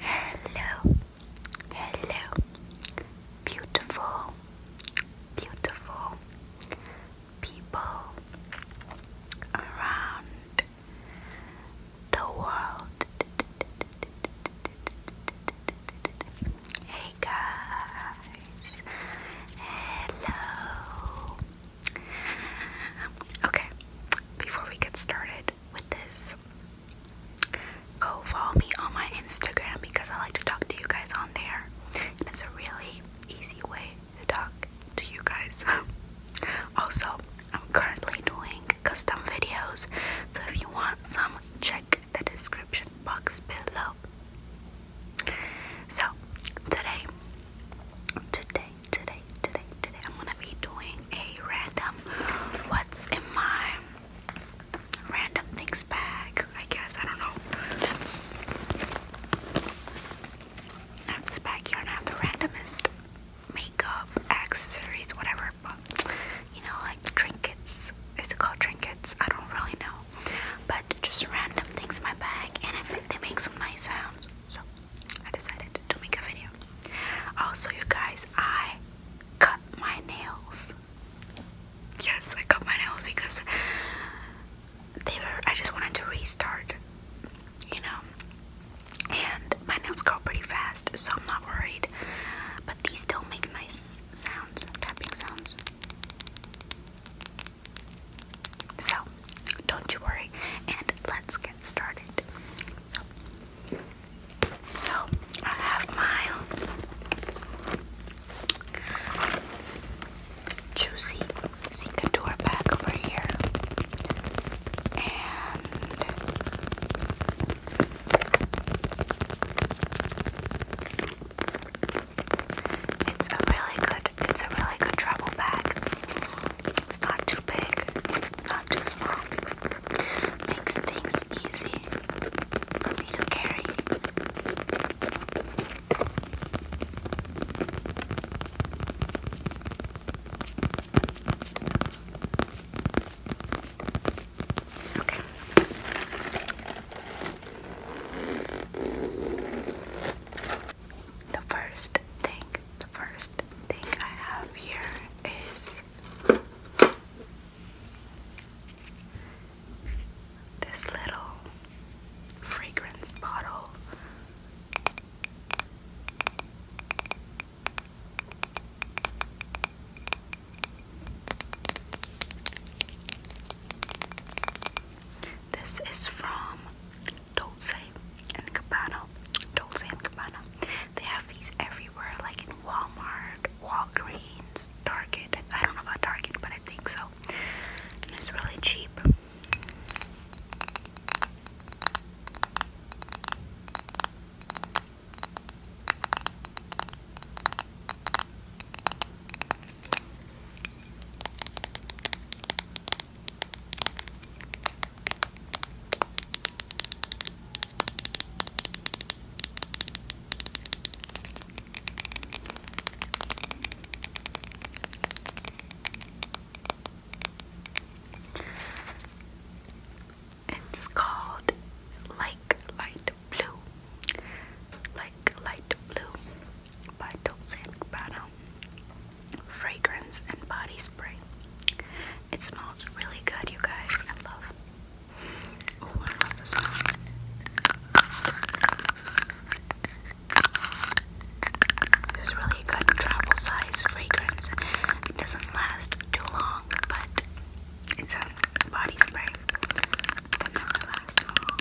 Hello, hello, beautiful, beautiful people around the world. Hey guys, hello, Okay, before we get started with this, go follow me on my Instagram because I like to talk to you guys on there. it's a really easy way to talk to you guys. also, I'm currently doing custom videos, so if you want some, check the description box below. So, today, today, today, today, today, I'm gonna be doing a random what's in my random things bag, I guess. I don't know. I have this bag here I have the randomest makeup, accessories, whatever, but you know, like trinkets. Is it called trinkets? I don't really know. But just random things in my bag and they make some nice sounds. So I decided to make a video. Also, you guys, I cut my nails. Yes, I cut my nails because they were, I just wanted to restart, you know. And my nails grow pretty fast, so I'm not worried. But these still make nice sounds, tapping sounds. So, don't you worry, and let's get started. So, so I have my juicy Cicator bag over here, and it's a really good, it's a really good travel bag. It's not too big, not too small. Makes things easy for me to carry. Okay. The first thing, the first thing I have here is this little fragrance bottle. This is from Dolce and Cabana. Dulce and Cabana. They have these everywhere, like in Walmart, Walgreens, Target. I don't know about Target, but I think so. And it's really cheap. It's called like light blue, like light blue by Tosin Brown fragrance and body spray. It smells really good, you guys. I love. Oh, smell. This is really good travel size fragrance. It doesn't last too long, but it's a good body spray that lasts long.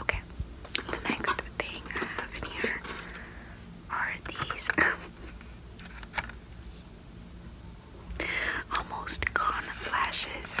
Okay, the next thing I in here are these almost gone lashes.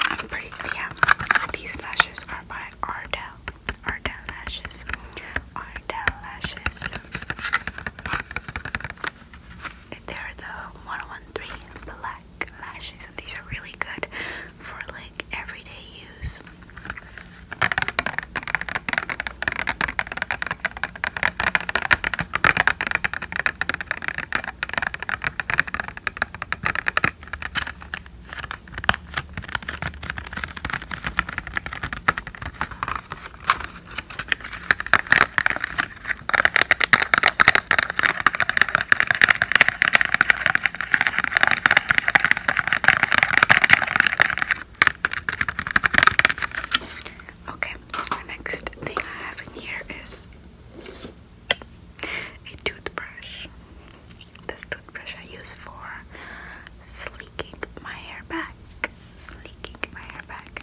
I'm pretty, yeah. These lashes are by Ardell. Ardell Lashes. Ardell Lashes. They're the 113 black lashes, and these are really good for like everyday use. Okay, the next thing I have in here is a toothbrush. This toothbrush I use for slicking my hair back. Sleeking my hair back.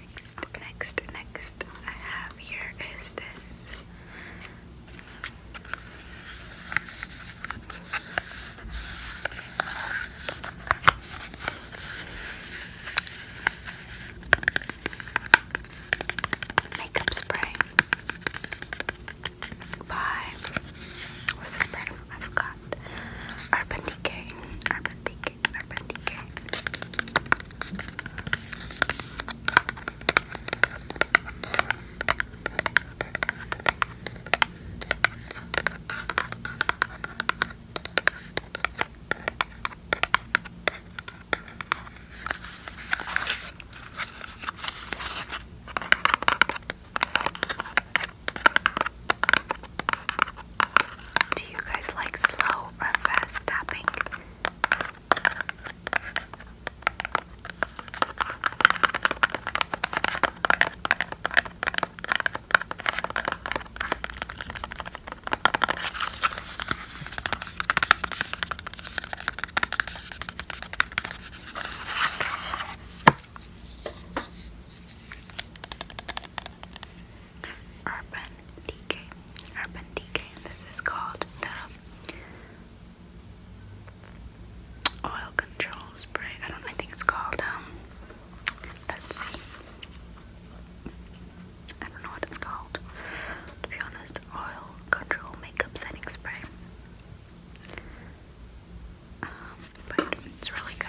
Next, next, next I have here is this. Makeup spray by what's this brand? I forgot. Urban Decay. Urban do you guys like slow or fast tapping? Urban Decay. Urban Decay. This is called the Oil Control Spray. I don't I think it's called um let's see. I don't know what it's called. To be honest, oil control makeup setting spray. Um, but it's really good.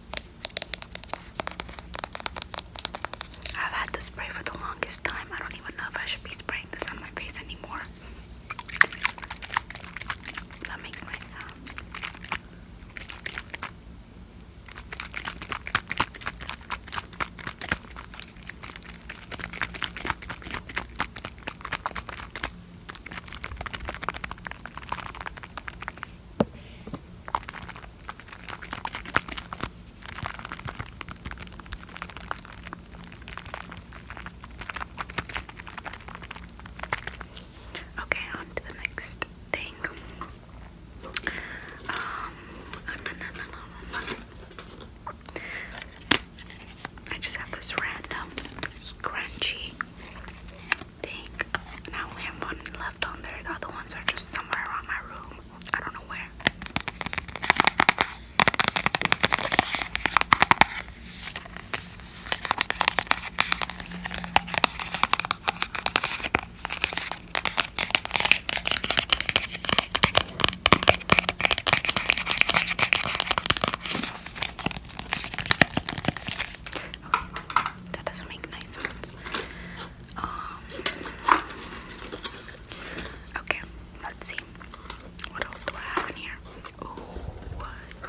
I've had this spray for the longest time. I don't even know if I should be spraying this on my face anymore. That makes my sound. Okay, on to the next thing. Um, I just have this random scrunchy thing, and I have one left on there. The other ones are just somewhere around my room. I don't know where. Okay, that doesn't make nice sounds. Um, okay, let's see. What else do I have in here? Oh,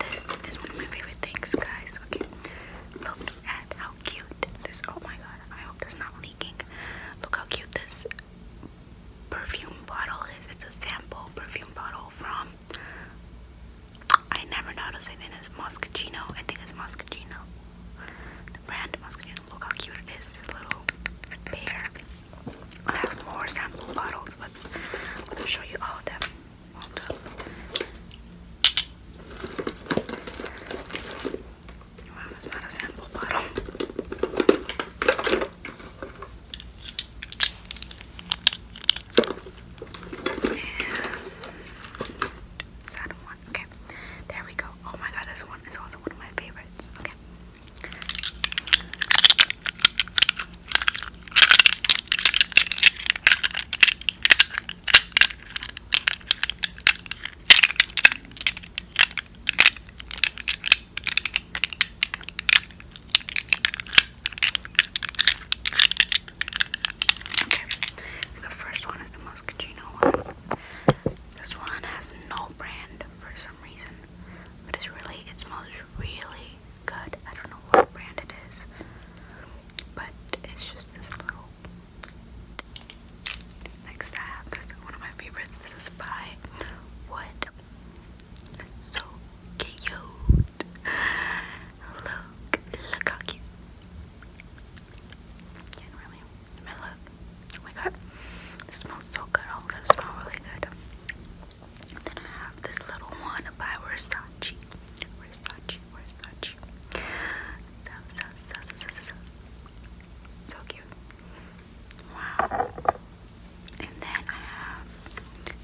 this is one of my favorite things, guys. Okay, look at how cute this. Oh my god, I hope this not leaking. Look how cute this perfume bottle is. It's a sample perfume bottle from. I never know how to say this. Moscaccino. I think it's Moscaccino brand mascara. Look how cute it is. little bear. I have more sample bottles. Let's let me show you all of them. All not a sample bottle. Okay, there we go. Oh my god, this one is also one of my favorites. Okay. Okay, the first one is the muscatino one. This one has no brand for some reason, but it's really, it smells really good. I don't know what brand it is, but it's just this little. Next, I have this one of my favorites. This is by What so cute. Look, look how cute. Can't really my Oh my god. This smells so good. All of oh, them smell really good. then I have this little one by Versace. Versace, Versace. so, so, so, so, so. So cute. Wow. And then I have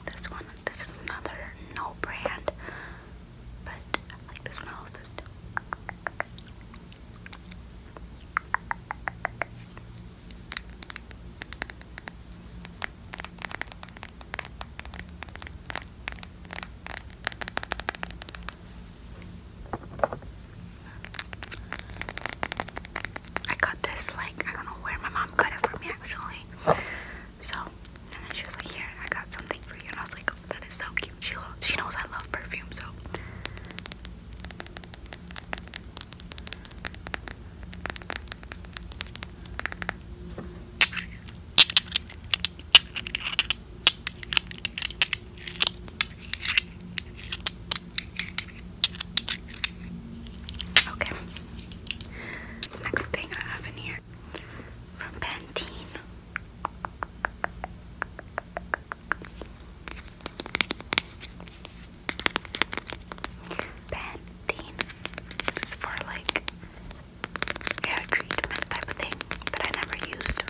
this one. This is another no brand. But I like the smell of this too. I got this like I don't know where my mom got it for me actually. So and then she was like, Here, I got something for you and I was like, that is so cute. She knows I love perfume, so. Okay. Next thing I have in here from Pantene. Pantene. This is for like hair treatment type of thing, but I never used.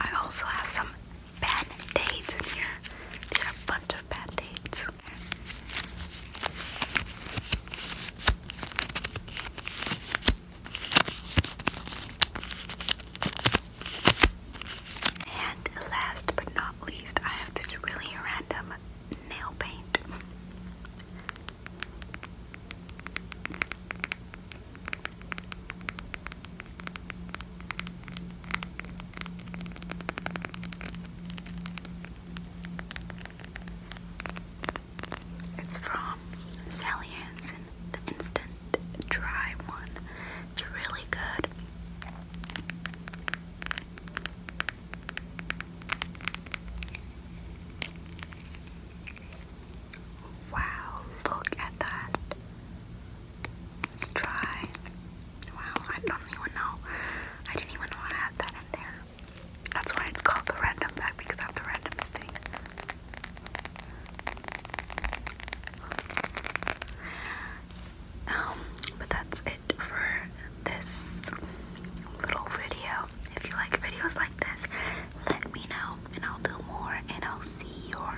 I also have some band aids in here. These are a bunch of bad dates. And last but not least, I have this really random nail paint. It's from Sally Hansen, the instant dry one. It's really good. Wow, look at that. It's dry. Wow, I don't even know. I didn't even know I had that in there. That's why it's called the random bag because I'm the random thing. Um, but that's it for this little video. If you like videos like this, let me know and I'll do more and I'll see your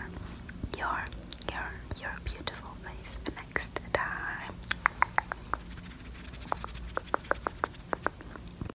your your your beautiful face next time.